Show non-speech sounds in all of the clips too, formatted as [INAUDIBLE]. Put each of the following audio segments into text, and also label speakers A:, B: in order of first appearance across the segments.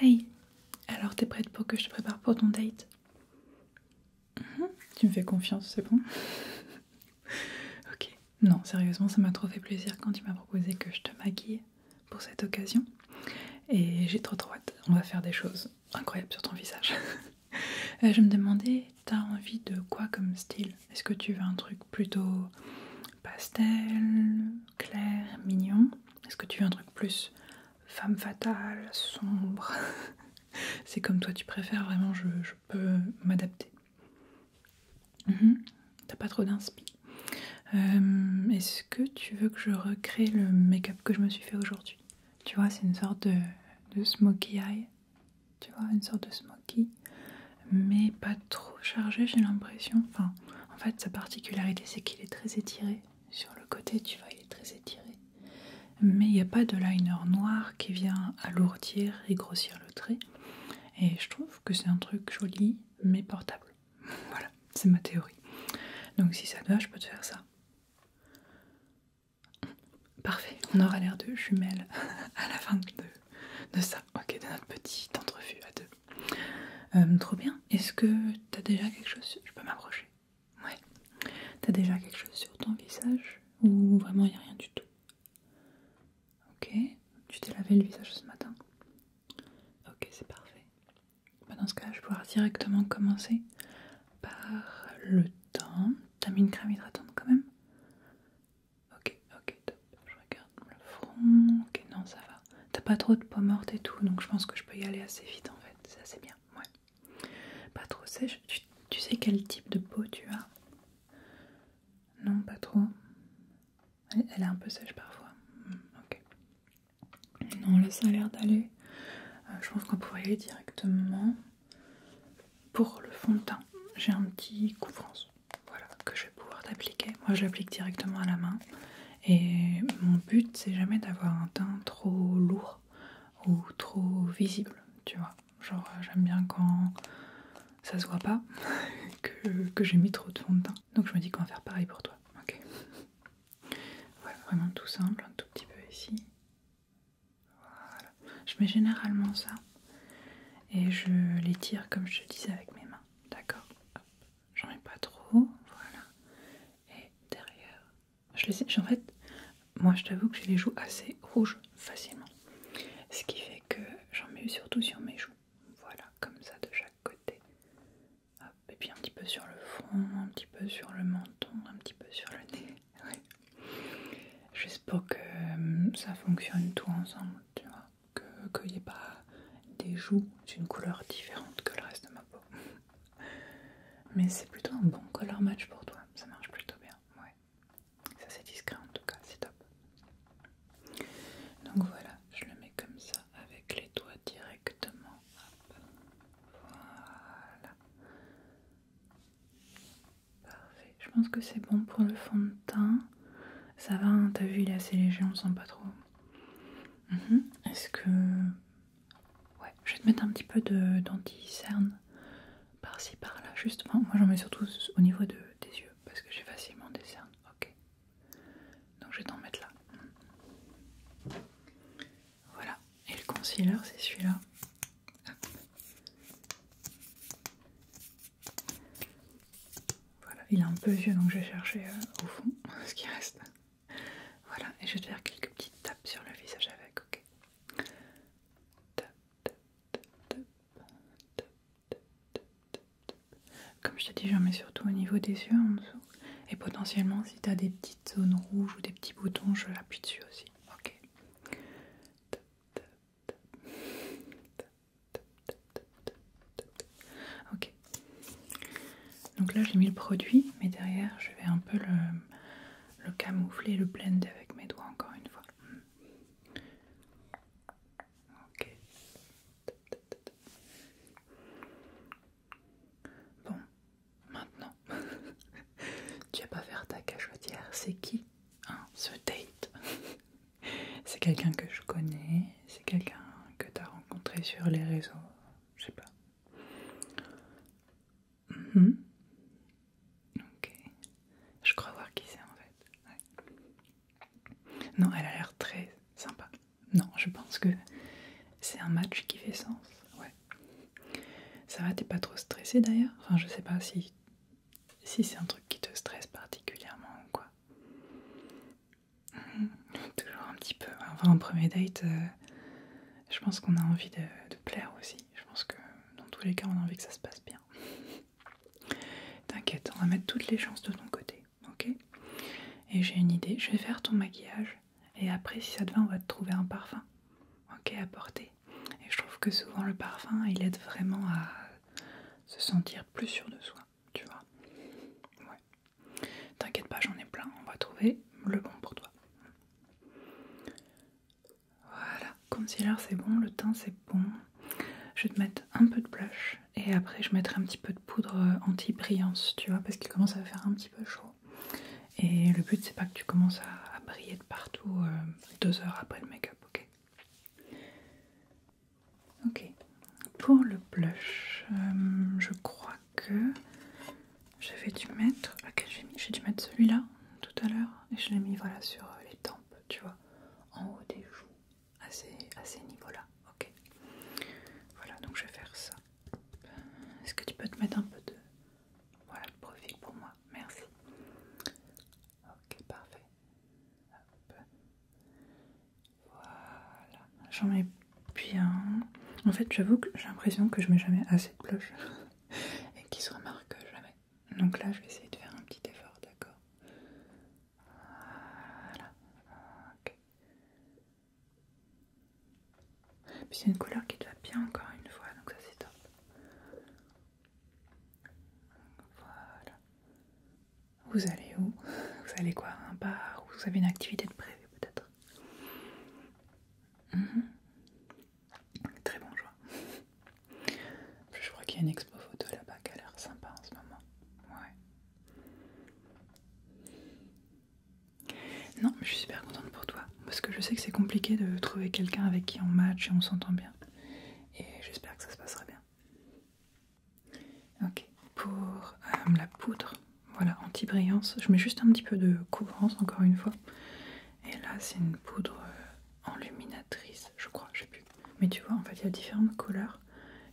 A: Hey, alors t'es prête pour que je te prépare pour ton date mhm. Tu me fais confiance, c'est bon [LAUGHS] Ok. Non, sérieusement, ça m'a trop fait plaisir quand tu m'as proposé que je te maquille pour cette occasion. Et j'ai trop trop hâte, on va faire des choses incroyable sur ton visage. [LAUGHS] Euh, je me demandais, t'as envie de quoi comme style Est-ce que tu veux un truc plutôt pastel, clair, mignon Est-ce que tu veux un truc plus femme fatale, sombre [LAUGHS] C'est comme toi tu préfères, vraiment je, peux m'adapter. Mhm. T'as pas trop d'inspiration. Euh, est-ce que tu veux que je recrée le make-up que je me suis fait aujourd'hui tu vois, c'est une sorte de, de smoky eye. Tu vois, une sorte de smoky, mais pas trop chargé, j'ai l'impression. Enfin, en fait, sa particularité, c'est qu'il est très étiré. Sur le côté, tu vois, il est très étiré. Mais il n'y a pas de liner noir qui vient alourdir et grossir le trait. Et je trouve que c'est un truc joli, mais portable. [LAUGHS] voilà, c'est ma théorie. Donc si ça te va, je peux te faire ça. Parfait, on aura l'air de jumelles [LAUGHS] à la fin de, de ça, ok, de notre petite entrevue à deux. Euh, trop bien, est-ce que t'as déjà quelque chose Je peux m'approcher Ouais. T'as déjà quelque chose sur ton visage Ou vraiment il a rien du tout Ok, tu t'es lavé le visage ce matin Ok, c'est parfait. Bah, dans ce cas, je vais pouvoir directement commencer par le temps. T'as mis une crème hydratante quand même Ok, ok, top. Je regarde le front. Ok, non, ça va. T'as pas trop de peau morte et tout, donc je pense que je peux y aller assez vite en fait. C'est assez bien. Ouais. Pas trop sèche. Tu, sais quel type de peau tu as Non, pas trop. Elle, elle est un peu sèche parfois. Hmm, ok. Non, là, ça a l'air d'aller. Euh, je pense qu'on pourrait aller directement pour le fond de teint. J'ai un petit couvrance que je vais pouvoir t'appliquer. Moi je l'applique directement à la main et mon but c'est jamais d'avoir un teint trop lourd ou trop visible, tu vois. Genre euh, j'aime bien quand ça se voit pas [LAUGHS] que, que j'ai mis trop de fond de teint. Donc je me dis qu'on va faire pareil pour toi. Ok. Voilà, [LAUGHS] vraiment tout simple, un tout petit peu ici. Voilà. Je mets généralement ça et je l'étire comme je te disais avec mes mains. D'accord J'en mets pas trop. Voilà. Et derrière, je les En fait, moi je t'avoue que j'ai les joues assez rouges facilement. Ce qui fait que j'en mets surtout sur mes joues. Voilà, comme ça de chaque côté et puis un petit peu sur le front, un petit peu sur le menton, un petit peu sur le nez. [LAUGHS] J'espère que euh, ça fonctionne tout ensemble, tu vois, qu'il n'y ait pas des joues d'une couleur différente que le reste de ma peau. [LAUGHS] Mais c'est plutôt un bon color match pour toi, ça marche plutôt bien, ouais. Ça c'est discret en tout cas, c'est top. Donc voilà, je le mets comme ça avec les doigts directement Parfait. Je pense que c'est bon pour le fond de teint. Ça va, hein, t'as vu, il est assez léger, on sent pas trop. Mhm. Est-ce que... Ouais, je vais te mettre un petit peu d'anti-cerne par-ci, par-là, justement. moi j'en mets surtout au niveau des yeux, parce que j'ai facilement des cernes. Ok. Donc je vais t'en mettre là. Voilà. Et le concealer, c'est celui-là. Voilà, il est un peu vieux, donc je vais chercher euh, au fond [LAUGHS] ce qui reste. Voilà, et je vais te faire quelques petites tapes sur le visage avec, ok Tap, tap, tap, tap, tap, Comme je te dis, j'en mets surtout au niveau des yeux en dessous. Et potentiellement, si tu as des petites zones rouges ou des petits boutons, je l'appuie dessus aussi. Ok. Ok. Donc là, j'ai mis le produit, mais derrière, je vais un peu le, camoufler, le blender avec mes doigts encore une fois. Ok. Bon, maintenant. [LAUGHS] tu vas pas faire ta cachotière, c'est qui hein, ce date [LAUGHS] C'est quelqu'un que je connais, c'est quelqu'un que tu as rencontré sur les réseaux, je sais pas. Mhm. Ok, je crois voir qui c'est en fait. Non, elle a l'air très sympa. Non, je pense que c'est un match qui fait sens. Ouais. Ça va, t'es pas trop stressé d'ailleurs Enfin, je sais pas si, si c'est un truc qui te stresse particulièrement ou quoi. [LAUGHS] toujours un petit peu. Enfin, en premier date, euh, je pense qu'on a envie de, de plaire aussi. Je pense que dans tous les cas, on a envie que ça se passe bien. [LAUGHS] T'inquiète, on va mettre toutes les chances de ton côté, ok Et j'ai une idée, je vais faire ton maquillage et après, si ça te va, on va te trouver un parfum. Ok, à porter. Et je trouve que souvent le parfum, il aide vraiment à se sentir plus sûr de soi, tu vois. Ouais. T'inquiète pas, j'en ai plein. On va trouver le bon pour toi. Voilà, concealer c'est bon, le teint c'est bon. Je vais te mettre un peu de blush et après je mettrai un petit peu de poudre euh, anti-brillance, tu vois, parce qu'il commence à faire un petit peu chaud. Et le but, c'est pas que tu commences à, briller de partout euh, deux heures après le make-up, ok Ok. Pour le blush, euh, je crois que j'avais dû mettre. j'ai dû mettre celui-là tout à l'heure et je l'ai mis voilà sur euh, les tempes, tu vois, en haut des joues, à ces niveaux-là, ok Voilà, donc je vais faire ça. Est-ce que tu peux te mettre un peu de... Voilà, le profil pour moi. Merci. Ok, parfait. Voilà. J'en mets bien. En fait, j'avoue que j'ai l'impression que je mets jamais assez de blush. [LAUGHS] Et qu'ils se remarquent jamais. Donc là, je vais essayer de faire un petit effort, d'accord Voilà. Ok. Puis c'est une couleur qui te va bien encore une fois, donc ça c'est top. Voilà. Vous allez où Vous allez quoi Un bar Vous avez une activité de prévu peut-être mhm. Très bon choix. Je crois qu'il y a une expo photo là-bas qui a l'air sympa en ce moment. Ouais. Non, mais je suis super contente pour toi parce que je sais que c'est compliqué de trouver quelqu'un avec qui on match et on s'entend bien. Et j'espère que ça se passera bien. Ok, pour euh, la poudre, voilà, anti-brillance, je mets juste un petit peu de couvrance encore une fois. Et là, c'est une poudre euh, enluminatrice, je crois, je sais plus. Mais tu vois, en fait, il y a différentes couleurs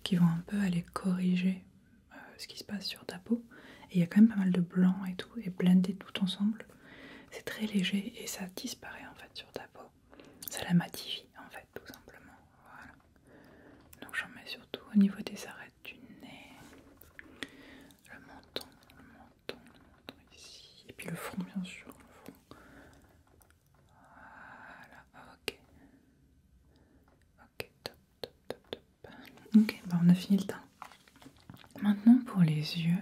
A: qui vont un peu aller corriger euh, ce qui se passe sur ta peau. Et il y a quand même pas mal de blanc et tout, et blendé tout ensemble. C'est très léger et ça disparaît en fait sur ta peau. Ça la matifie en fait, tout simplement. Voilà. Donc j'en mets surtout au niveau des arêtes du nez, le menton, le menton, le ici, et puis le front, bien sûr. Le front. Voilà, ok. Ok, top, top, top, Ok, bah, on a fini le teint. Maintenant pour les yeux,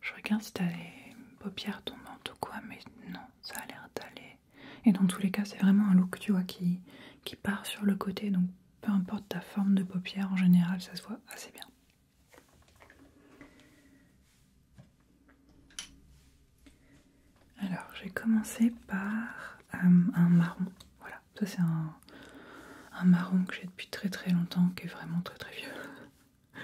A: je regarde si t'as les paupières tombantes ou quoi, mais non, ça a l'air d'aller. Et dans tous les cas, c'est vraiment un look, qui, qui part sur le côté, donc peu importe ta forme de paupière, en général, ça se voit assez bien. Alors, j'ai commencé par euh, un marron. Voilà, ça c'est un, marron que j'ai depuis très très longtemps, qui est vraiment très très vieux.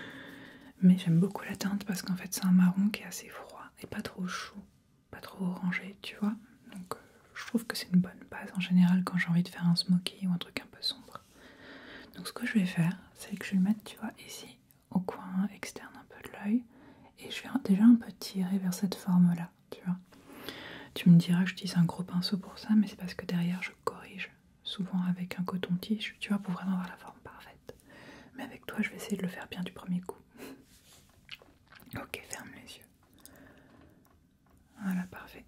A: Mais j'aime beaucoup la teinte parce qu'en fait c'est un marron qui est assez froid et pas trop chaud, pas trop orangé, tu vois. Donc euh, je trouve que c'est une bonne base en général quand j'ai envie de faire un smoky ou un truc un peu sombre. Donc ce que je vais faire, c'est que je vais le mettre, tu vois, ici, au coin externe un peu de l'œil. Et je vais déjà un peu tirer vers cette forme-là tu me diras, j'utilise un gros pinceau pour ça, mais c'est parce que derrière je corrige souvent avec un coton-tige, tu vois, pour vraiment avoir la forme parfaite. Mais avec toi, je vais essayer de le faire bien du premier coup. [LAUGHS] ok, ferme les yeux. Voilà, parfait.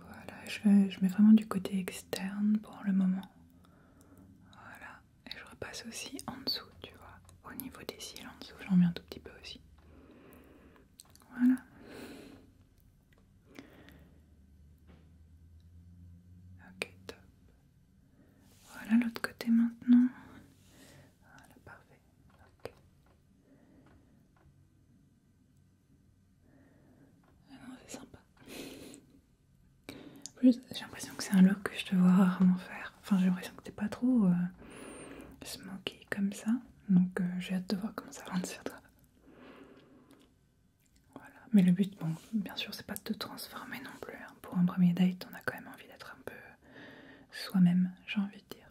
A: Voilà, je mets vraiment du côté externe pour le moment. Voilà et je repasse aussi en dessous, tu vois, au niveau des cils en dessous, j'en mets un tout petit peu aussi. Voilà. Ok, top. Voilà l'autre côté maintenant. Voilà, parfait. Ok. Ah non, c'est sympa. En plus, j'ai l'impression que c'est un look que je te vois rarement faire. Enfin, j'ai l'impression que t'es pas trop euh, smoky comme ça. Donc, euh, j'ai hâte de voir comment ça rentre sur toi. Voilà. Mais le but, bon, bien sûr, c'est pas de te transformer non plus. Hein. Pour un premier date, on a quand même envie d'être un peu soi-même, j'ai envie de dire.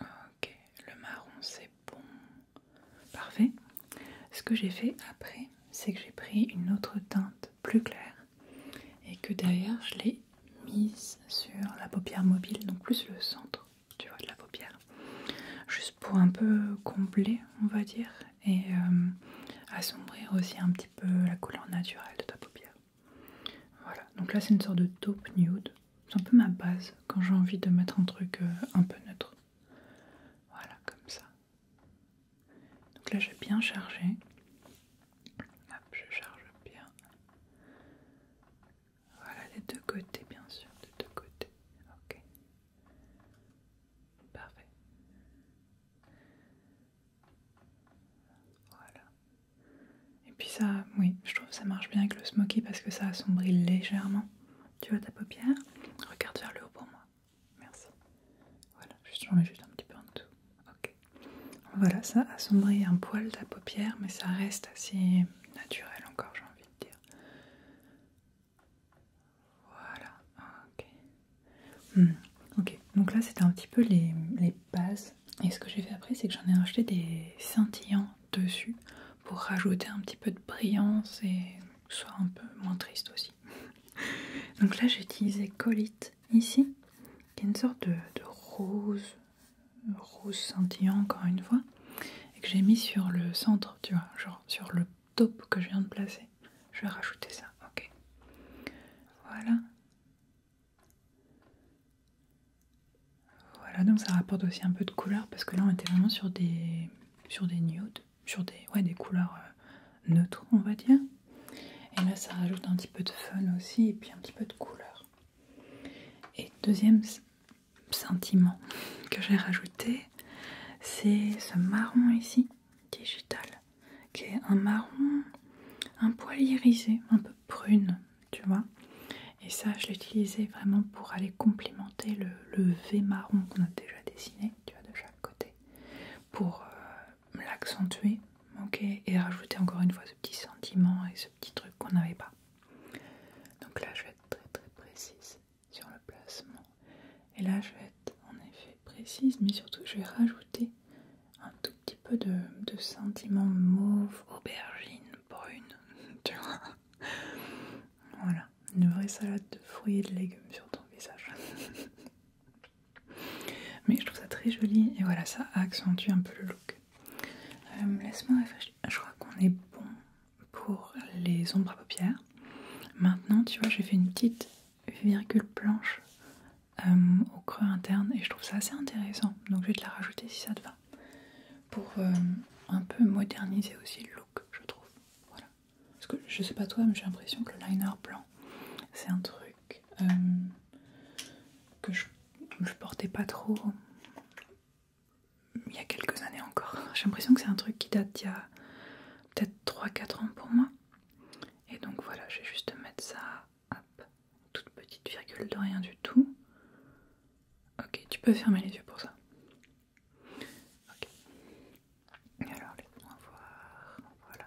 A: Ok, le marron c'est bon. Parfait. Ce que j'ai fait après, c'est que j'ai pris une autre teinte plus claire et que derrière je l'ai mise sur la paupière mobile, donc plus le centre, tu vois, de la paupière. Juste pour un peu combler, on va dire, et euh, assombrir aussi un petit peu la couleur naturelle de ta paupière. Voilà, donc là c'est une sorte de taupe nude. C'est un peu ma base quand j'ai envie de mettre un truc euh, un peu neutre. Voilà, comme ça. Donc là, j'ai bien chargé. Hop, je charge bien. Voilà, les deux côtés, bien sûr, de deux côtés. Ok. Parfait. Voilà. Et puis ça, oui, je trouve que ça marche bien avec le smoky parce que ça assombrit légèrement. Tu vois ta paupière Regarde vers le haut pour moi. Merci. Voilà, j'en mets juste un petit peu en dessous. Ok. Voilà, ça assombrit un poil de la paupière, mais ça reste assez naturel encore, j'ai envie de dire. Voilà, ok. Hmm, ok, donc là c'était un petit peu les, bases. Et ce que j'ai fait après, c'est que j'en ai acheté des scintillants dessus pour rajouter un petit peu de brillance et soit un peu moins triste aussi. [LAUGHS] Donc là j'ai utilisé colite ici, qui est une sorte de, rose, rose scintillant encore une fois, et que j'ai mis sur le centre, tu vois, genre sur le top que je viens de placer. Je vais rajouter ça, ok. Voilà. Voilà, donc ça rapporte aussi un peu de couleur parce que là on était vraiment sur des sur des nudes sur des, couleurs euh, neutres, on va dire. Et là, ça rajoute un petit peu de fun aussi, et puis un petit peu de couleur. Et deuxième sentiment que j'ai rajouté, c'est ce marron ici, digital, qui est un marron un poil irisé, un peu prune, tu vois. Et ça, je l'utilisais vraiment pour aller complimenter le, le V marron qu'on a déjà dessiner tu vois, de chaque côté, pour euh, l'accentuer, ok, et rajouter encore une fois ce petit sentiment et ce petit truc qu'on n'avait pas. Donc là, je vais être très très précise sur le placement. Et là, je vais être en effet précise, mais surtout, je vais rajouter un tout petit peu de, de sentiment mauve, aubergine, brune, [LAUGHS] tu vois. Voilà, une vraie salade de fruits et de légumes sur ton visage. [LAUGHS] Mais je trouve ça très joli et voilà, ça accentue un peu le look. Euh, laisse-moi réfléchir. Je crois qu'on est bon pour les ombres à paupières. Maintenant, tu vois, j'ai fait une petite virgule blanche euh, au creux interne et je trouve ça assez intéressant. Donc je vais te la rajouter si ça te va. Pour euh, un peu moderniser aussi le look, je trouve. Parce que je sais pas toi, mais j'ai l'impression que le liner blanc, c'est un truc euh, que je, je portais pas trop il y a quelques années encore. J'ai l'impression que c'est un truc qui date d'il y a peut-être 3-4 ans pour moi. Et donc voilà, je vais juste mettre ça, hop, toute petite virgule de rien du tout. Ok, tu peux fermer les yeux pour ça. Ok. Alors, laisse-moi voir. Voilà.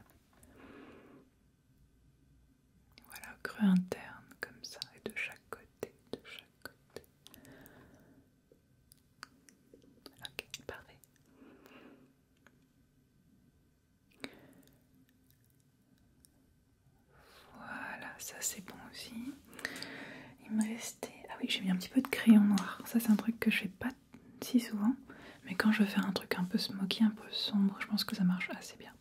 A: Voilà, creux interne, comme ça, et de chaque côté, de chaque côté. Ok, parfait. Voilà, ça c'est bon aussi. Il me reste ah oui, j'ai mis un petit peu de crayon noir. Ça, c'est un truc que je fais pas si souvent. Mais quand je fais un truc un peu smoky, un peu sombre, je pense que ça marche assez bien.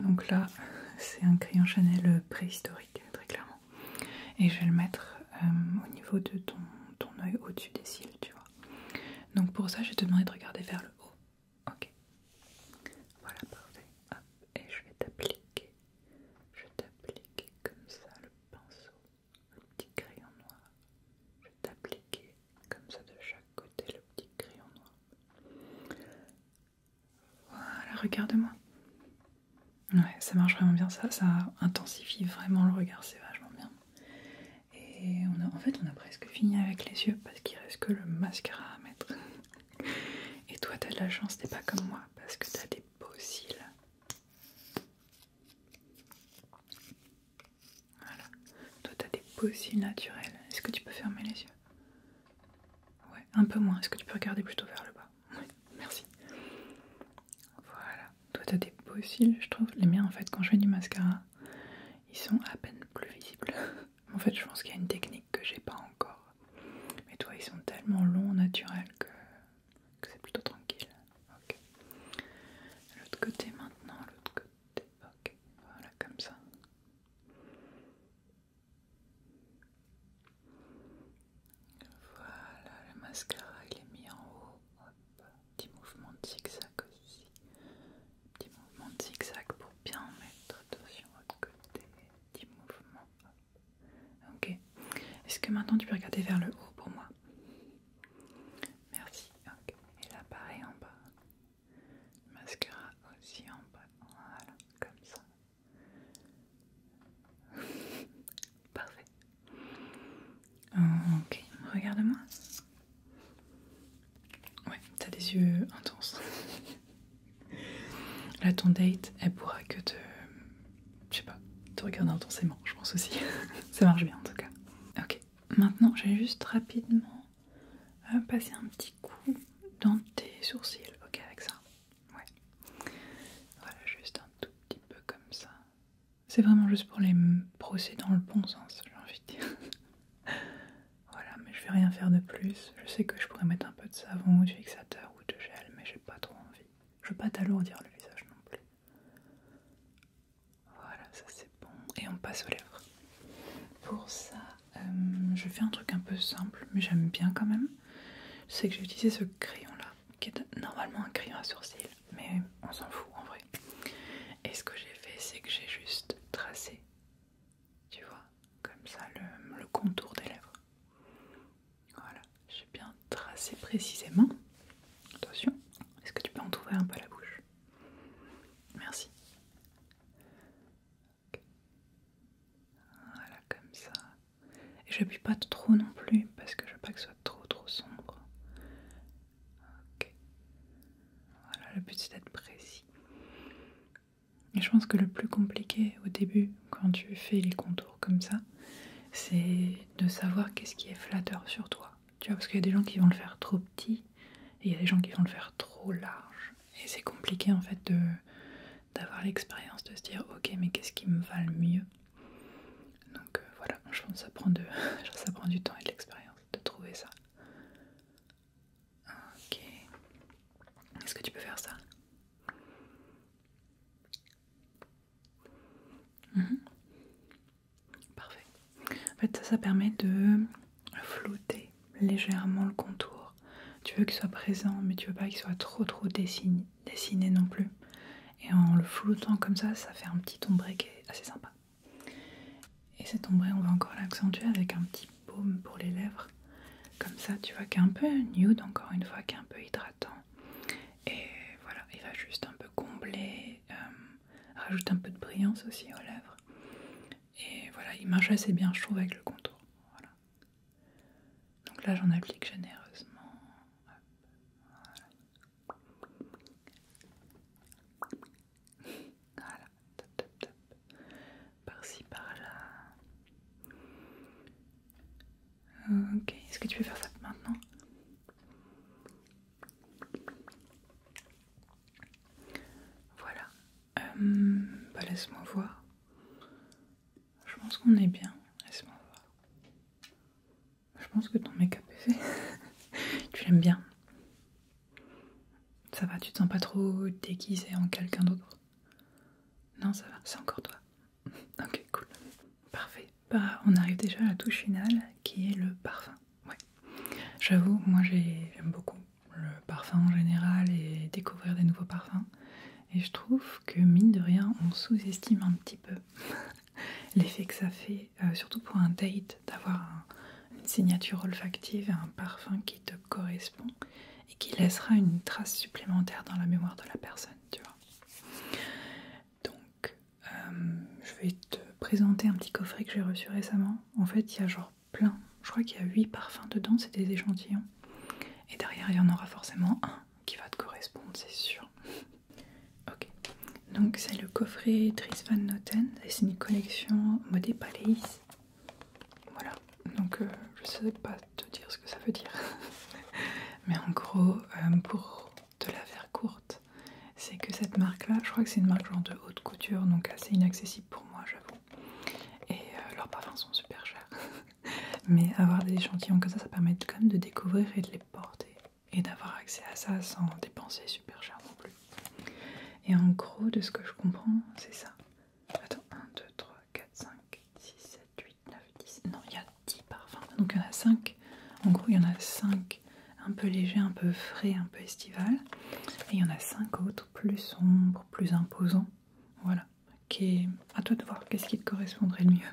A: Donc là, [LAUGHS] c'est un crayon Chanel préhistorique, très clairement. Et je vais le mettre euh, au niveau de ton, ton œil au-dessus des cils, tu vois. Donc pour ça, je vais te demander de regarder vers le haut. Ok. Voilà, parfait. et je vais t'appliquer. Je t'appliquer comme ça le pinceau, le petit crayon noir. Je vais t'appliquer comme ça de chaque côté le petit crayon noir. Voilà, regarde-moi. Ouais, ça marche vraiment bien ça, ça intensifie vraiment le regard, c'est vachement bien. Et on en fait, on a presque fini avec les yeux parce qu'il reste que le mascara à mettre. Et toi, t'as de la chance, t'es pas comme moi, parce que t'as des beaux cils. Voilà. Toi, t'as des beaux cils naturels. Est-ce que tu peux fermer les yeux Ouais, un peu moins. Est-ce que tu peux regarder plutôt vers le bas Oui, merci. Voilà. Toi, t'as des beaux cils, je trouve. Les miens, en fait, quand je fais du mascara, ils sont à peine plus visibles. [LAUGHS] En fait, je pense qu'il y a une technique que j'ai pas encore. Mais toi, ils sont tellement longs, naturels que, c'est plutôt tranquille. Ok. L'autre côté maintenant, l'autre côté. Ok. Voilà, comme ça. Voilà, le mascara il est mis en haut. Petit mouvement de zigzag aussi. Petit mouvement de zigzag pour bien mettre attention à côté. Petit mouvement. Ok. Est-ce que maintenant tu peux regarder vers le haut pour moi Merci. Ok. Et là, pareil en bas. Masquera mascara aussi en bas. Voilà, comme ça. [LAUGHS] Parfait. Ok, regarde-moi. Ouais, t'as des yeux intenses. Là, ton date, elle pourra que te. Je sais pas, te regarder intensément, je pense aussi. [LAUGHS] Ça marche bien en tout cas. Ok, maintenant, j'ai juste rapidement euh, passer un petit coup dans tes sourcils. Ok, avec ça. Ouais. Voilà, juste un tout petit peu comme ça. C'est vraiment juste pour les brosser dans le bon sens, j'ai envie de dire. [LAUGHS] Voilà, mais je vais rien faire de plus. Je sais que je pourrais mettre un peu de savon ou de fixateur ou de gel, mais j'ai pas trop envie. Je veux pas t'alourdir le visage non plus. Voilà, ça c'est bon. Et on passe aux lèvres. Pour ça, euh, je fais un truc un peu simple, mais j'aime bien quand même. C'est que j'ai utilisé ce crayon là, qui est normalement un crayon à sourcils, mais on s'en fout en vrai. Et ce que j'ai fait, c'est que j'ai juste tracé tu vois, comme ça, le, contour des lèvres. Voilà, j'ai bien tracé précisément. Attention, est-ce que tu peux en un peu la bouche Merci. Voilà, comme ça. Et je puis pas trop non plus parce que je veux pas que ce soit trop trop sombre. Ok. Voilà, le but c'est d'être précis. Et je pense que le plus compliqué au début, quand tu fais les contours comme ça, c'est de savoir qu'est-ce qui est flatteur sur toi. Tu vois, parce qu'il y a des gens qui vont le faire trop petit et il y a des gens qui vont le faire trop large. Et c'est compliqué en fait de d'avoir l'expérience de se dire ok mais qu'est-ce qui me va le mieux donc euh, voilà je pense que de [LAUGHS] ça prend du temps et de l'expérience de trouver ça Ok. Est-ce que tu peux faire ça mhm. Parfait. En fait, ça, permet de flouter légèrement le contour. Tu veux qu'il soit présent, mais tu veux pas qu'il soit trop trop dessiné, non plus. Et en le floutant comme ça, ça fait un petit ombre qui est assez sympa. Et cet ombre, on va encore l'accentuer avec un petit baume pour les lèvres. Comme ça, tu vois, qu'un est un peu nude, encore une fois, qu'un est un peu hydratant. Et voilà, il va juste un peu combler, euh, rajoute rajouter un peu de brillance aussi aux lèvres. Et voilà, il marche assez bien, chaud avec le contour. Donc là, j'en applique généreusement. Voilà, top, top, top. Par-ci, par-là. Ok, est-ce que tu peux faire ça maintenant Voilà. Euh, bah laisse-moi voir. Je pense qu'on est bien. Laisse-moi voir. Je pense que ton make-up est [LAUGHS] tu l'aimes bien ça va, tu te sens pas trop déguisé en quelqu'un d'autre Non, ça va, c'est encore toi. [LAUGHS] ok, cool. Parfait. Bah, on arrive déjà à la touche finale qui est le parfum. Ouais. J'avoue, moi j'aime beaucoup le parfum en général et découvrir des nouveaux parfums. Et je trouve que mine de rien, on sous-estime un petit peu [LAUGHS] l'effet que ça fait, euh, surtout pour un date d'avoir une signature olfactive et un parfum qui te correspond et qui laissera une trace supplémentaire dans la mémoire de la personne, tu vois. Donc, euh, je vais te présenter un petit coffret que j'ai reçu récemment. En fait, il y a genre plein, je crois qu'il y a 8 parfums dedans, c'est des échantillons. Et derrière, il y en aura forcément un qui va te correspondre, c'est sûr. [LAUGHS] Ok, donc c'est le coffret Tris Van Noten et c'est une collection modé Palais. Voilà, donc euh, je sais pas te dire ce que ça veut dire. [LAUGHS] Mais en gros, euh, pour te la faire courte, c'est que cette marque-là, je crois que c'est une marque genre de haute couture, donc assez inaccessible pour moi, j'avoue. Et euh, leurs parfums sont super chers. [LAUGHS] Mais avoir des échantillons comme ça, ça permet quand même de découvrir et de les porter. Et d'avoir accès à ça sans dépenser super cher non plus. Et en gros, de ce que je comprends, c'est ça. Attends, 1, 2, 3, 4, 5, 6, 7, 8, 9, 10. Non, il y a 10 parfums. Donc il y en a 5. En gros, il y en a 5 un peu légers, un peu frais, un peu estival. Et il y en a 5 autres plus sombres, plus imposants. Voilà. A À toi de voir qu'est-ce qui te correspondrait le mieux.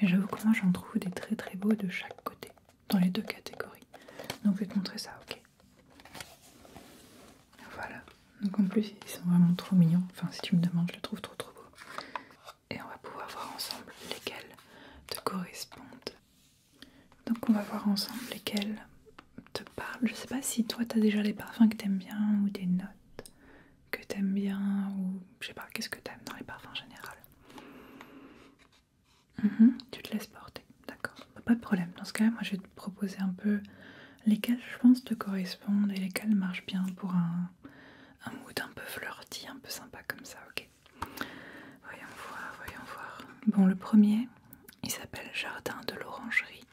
A: Mais j'avoue que moi j'en trouve des très très beaux de chaque côté dans les deux catégories. Donc je vais te montrer ça, ok Voilà. Donc en plus ils sont vraiment trop mignons. Enfin si tu me demandes, je les trouve trop trop beaux. Et on va pouvoir voir ensemble lesquels te correspondent. Donc on va voir ensemble lesquels te parlent. Je sais pas si toi t'as déjà les parfums que t'aimes bien ou des notes que t'aimes bien ou je sais pas, qu'est-ce que t'aimes dans les parfums en général Mhm. tu te laisses porter, d'accord. Bah, pas de problème. Dans ce cas, là moi je vais te proposer un peu lesquels je pense te correspondent et lesquels marchent bien pour un, mood un peu fleurti, un peu sympa comme ça, ok Voyons voir, voyons voir. Bon, le premier, il s'appelle Jardin de l'Orangerie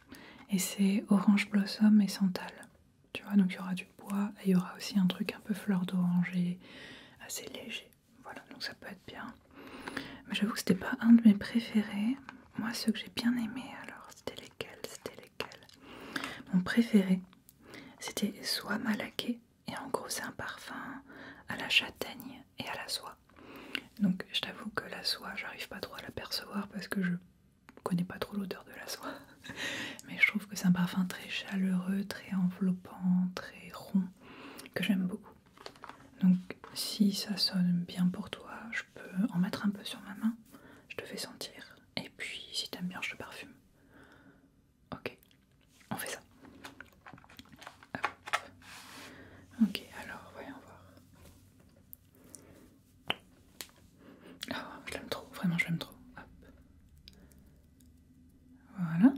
A: et c'est Orange Blossom et Santal. Tu vois, donc il y aura du bois et il y aura aussi un truc un peu fleur d'oranger assez léger. Voilà, donc ça peut être bien. Mais j'avoue que c'était pas un de mes préférés. Moi, ceux que j'ai bien aimés, alors c'était lesquels C'était lesquels Mon préféré, c'était soie malaquée. Et en gros, c'est un parfum à la châtaigne et à la soie. Donc, je t'avoue que la soie, j'arrive pas trop à l'apercevoir parce que je connais pas trop l'odeur de la soie. [LAUGHS] Mais je trouve que c'est un parfum très chaleureux, très enveloppant, très rond, que j'aime beaucoup. Donc si ça sonne bien pour toi, je peux en mettre un peu sur ma main. Je te fais sentir. Et puis si t'aimes bien, je te parfume. Ok, on fait ça. Ok, alors voyons voir. Oh, je l'aime trop, vraiment je l'aime trop. Voilà.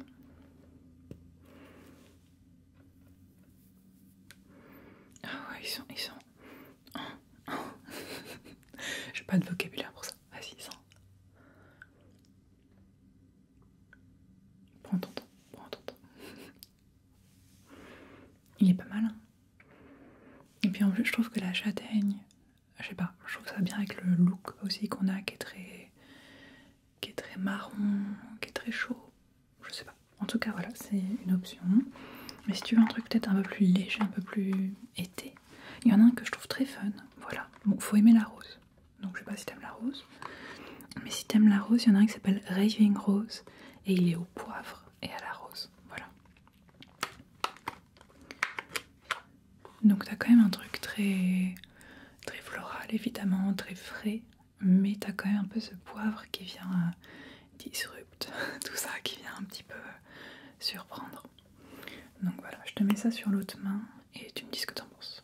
A: Ah ouais, ils sont... Ils sont... [LAUGHS] J'ai pas de vocabulaire pour ça. Vas-y, ils sont... Prends ton temps, prends Il est pas mal. Hein. Et puis en plus, je trouve que la châtaigne, je sais pas, je trouve ça bien avec le look aussi qu'on a qui est très qui est très marron, qui est très chaud. Je sais pas. En tout cas, voilà, c'est une option. Mais si tu veux un truc peut-être un peu plus léger, un peu plus été, il y en a un que je trouve très fun. Voilà. Bon, faut aimer la rose. Donc je sais pas si t'aimes la rose. Mais si t'aimes la rose, il y en a un qui s'appelle Raving Rose. Et il est au poivre et à la rose. Voilà. Donc t'as quand même un truc très, très floral évidemment, très frais, mais t'as quand même un peu ce poivre qui vient euh, disrupt [LAUGHS] tout ça, qui vient un petit peu euh, surprendre. Donc voilà, je te mets ça sur l'autre main et tu me dis ce que t'en penses.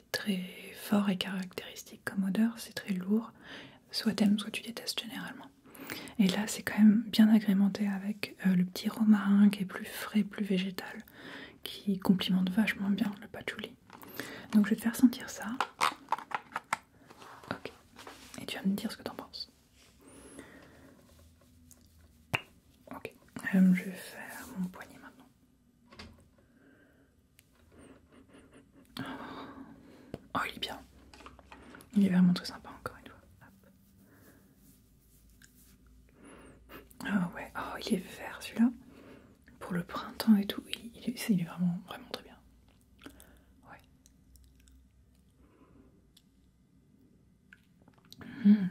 A: très fort et caractéristique comme odeur, c'est très lourd, soit t'aimes, soit tu détestes généralement. Et là, c'est quand même bien agrémenté avec euh, le petit romarin qui est plus frais, plus végétal, qui complimente vachement bien le patchouli. Donc je vais te faire sentir ça. Ok. Et tu vas me dire ce que t'en penses. Ok. Euh, je vais faire mon poignet maintenant. Oh, il est bien. Il est vraiment très sympa, encore une fois. Oh, ouais. Oh, il est vert celui-là. Pour le printemps et tout, il, est, vraiment, vraiment très bien. Ouais. Hmm.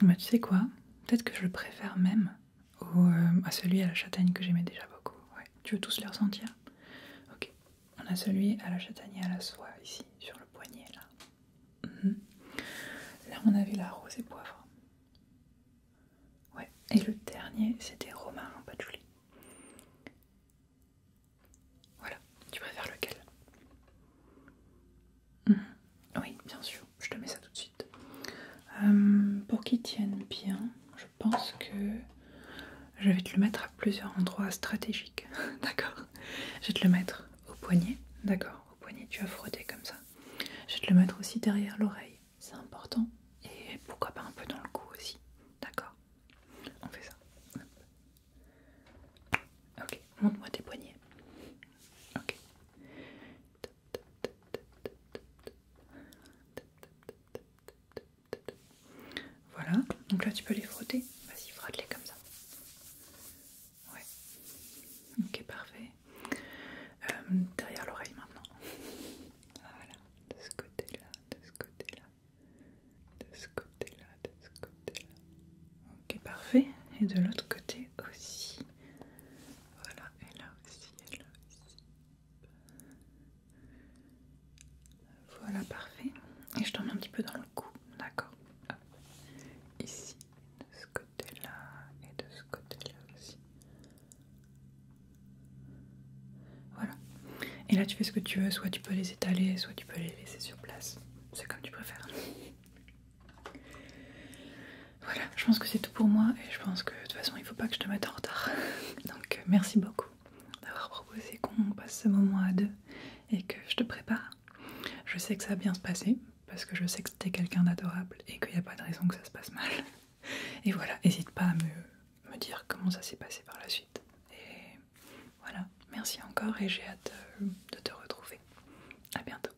A: Bah, tu sais quoi Peut-être que je le préfère même euh, à celui à la châtaigne que j'aimais déjà beaucoup. Ouais. Tu veux tous les ressentir Ok. On a celui à la châtaigne et à la soie ici, sur le poignet là. Mhm. Là, on avait la rose et poivre. Ouais. Et le dernier, c'était romarin Julie. Voilà, tu préfères lequel mhm. Oui, bien sûr, je te mets ça tout de suite. Euh, pour qu'il tienne bien, je pense que je vais te le mettre à plusieurs endroits stratégiques, [LAUGHS] d'accord Je vais te le mettre au poignet, d'accord Au poignet, tu vas frotter comme ça. Je vais te le mettre aussi derrière l'oreille, c'est important. Et pourquoi pas un peu dans le cou aussi, d'accord On fait ça. Ok, montre-moi tes poignets. Ok. Voilà, donc là tu peux les frotter. Vas-y, frotte-les comme ça. Ouais. Ok, parfait. Euh, derrière l'oreille maintenant. [LAUGHS] Voilà, de ce côté-là, de ce côté-là, de ce côté-là, de ce côté-là. Ok, parfait. Et de l'autre côté aussi. Voilà, et là aussi, et là aussi. Voilà, parfait. Et je mets un petit peu dans le cou, d'accord Ici, de ce côté-là, et de ce côté-là aussi. Voilà. Et là, tu fais ce que tu veux, soit tu peux les étaler, soit tu peux les laisser sur place c'est comme tu préfères. Voilà, je pense que c'est tout pour moi et je pense que de toute façon il faut pas que je te mette en retard. [LAUGHS] Donc euh, merci beaucoup d'avoir proposé qu'on passe ce moment à deux et que je te prépare. Je sais que ça va bien se passer parce que je sais que t'es quelqu'un d'adorable et qu'il n'y a pas de raison que ça se passe mal. [LAUGHS] Et voilà, n'hésite pas à me, dire comment ça s'est passé par la suite. Voilà, merci encore et j'ai hâte de te retrouver. À bientôt.